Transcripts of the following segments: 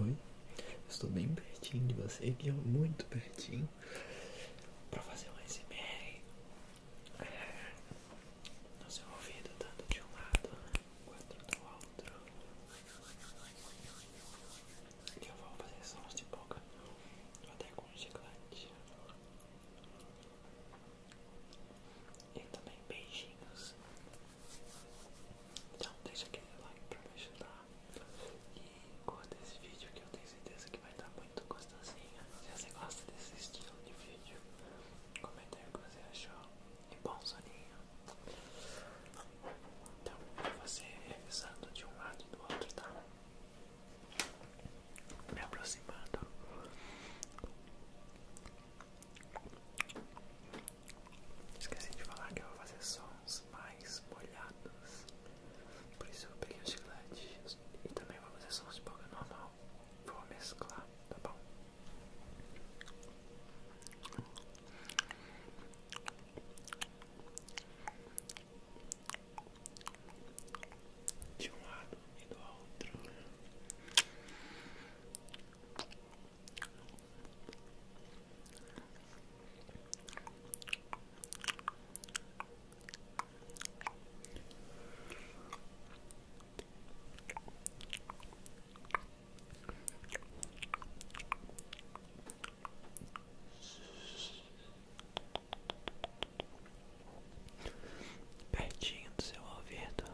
Oi, estou bem pertinho de você, que muito pertinho, para fazer um SMR é, no seu ouvido, tanto de um lado né, quanto do outro que eu vou fazer sons de boca até com chiclete e também beijinhos. Então deixa aquele like pra me ajudar e curta esse vídeo que eu tenho certeza que vai dar muito gostosinho. Se você gosta desse estilo de vídeo, comenta aí o que você achou e bom soninho. Então, você revisando de um lado e do outro, tá? Me aproximando. Esqueci de falar que eu vou fazer sons mais molhados. Por isso eu peguei o chiclete e também vou fazer sons de boca normal. Vou mesclar, tá bom? de um lado e do outro. Pertinho do seu ouvido.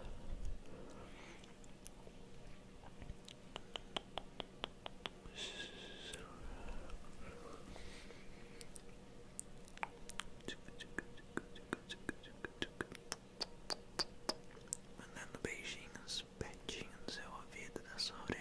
Mandando beijinhos isso do seu ouvido, da sua orelha.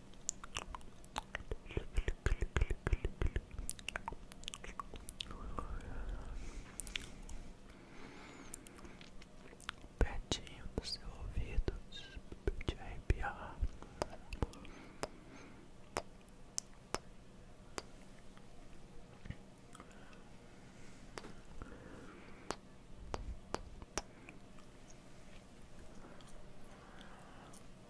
Pertinho do seu ouvido, de arrepiar. Relaxa,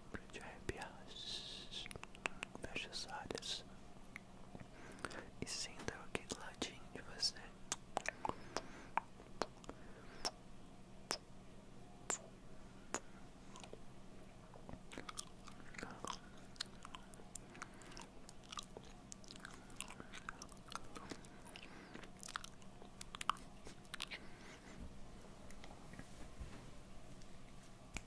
Shhh, pra te arrepiar. fecha as áreas. E sinta o aqui do de você.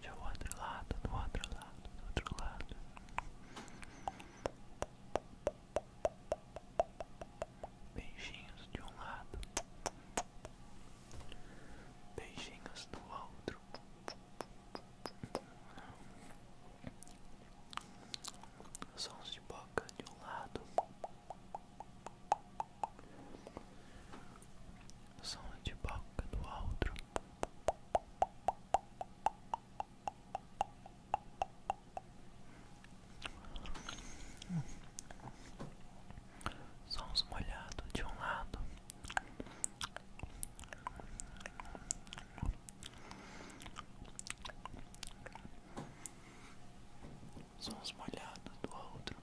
do outro lado, do outro lado, do outro lado. Beijinhos de um lado, beijinhos do outro. Sons de boca de um lado, som de boca do outro. Sons molhados de um lado. Sons molhados do outro.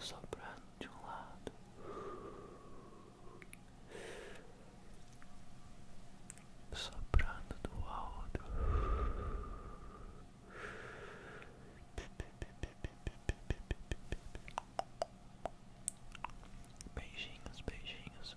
Soprando de um lado soprando do alto. Beijinhos, beijinhos. Beijinhos,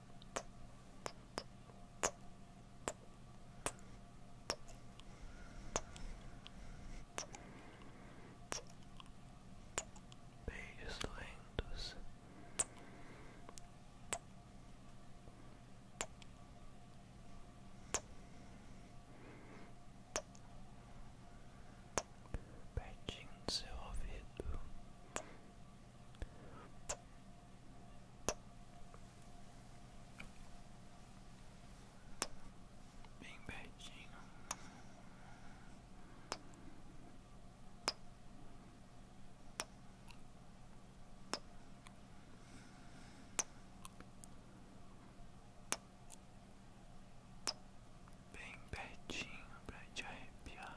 Beijos lentos. Pertinho do seu ouvido. Bem pertinho. Bem pertinho para te arrepiar.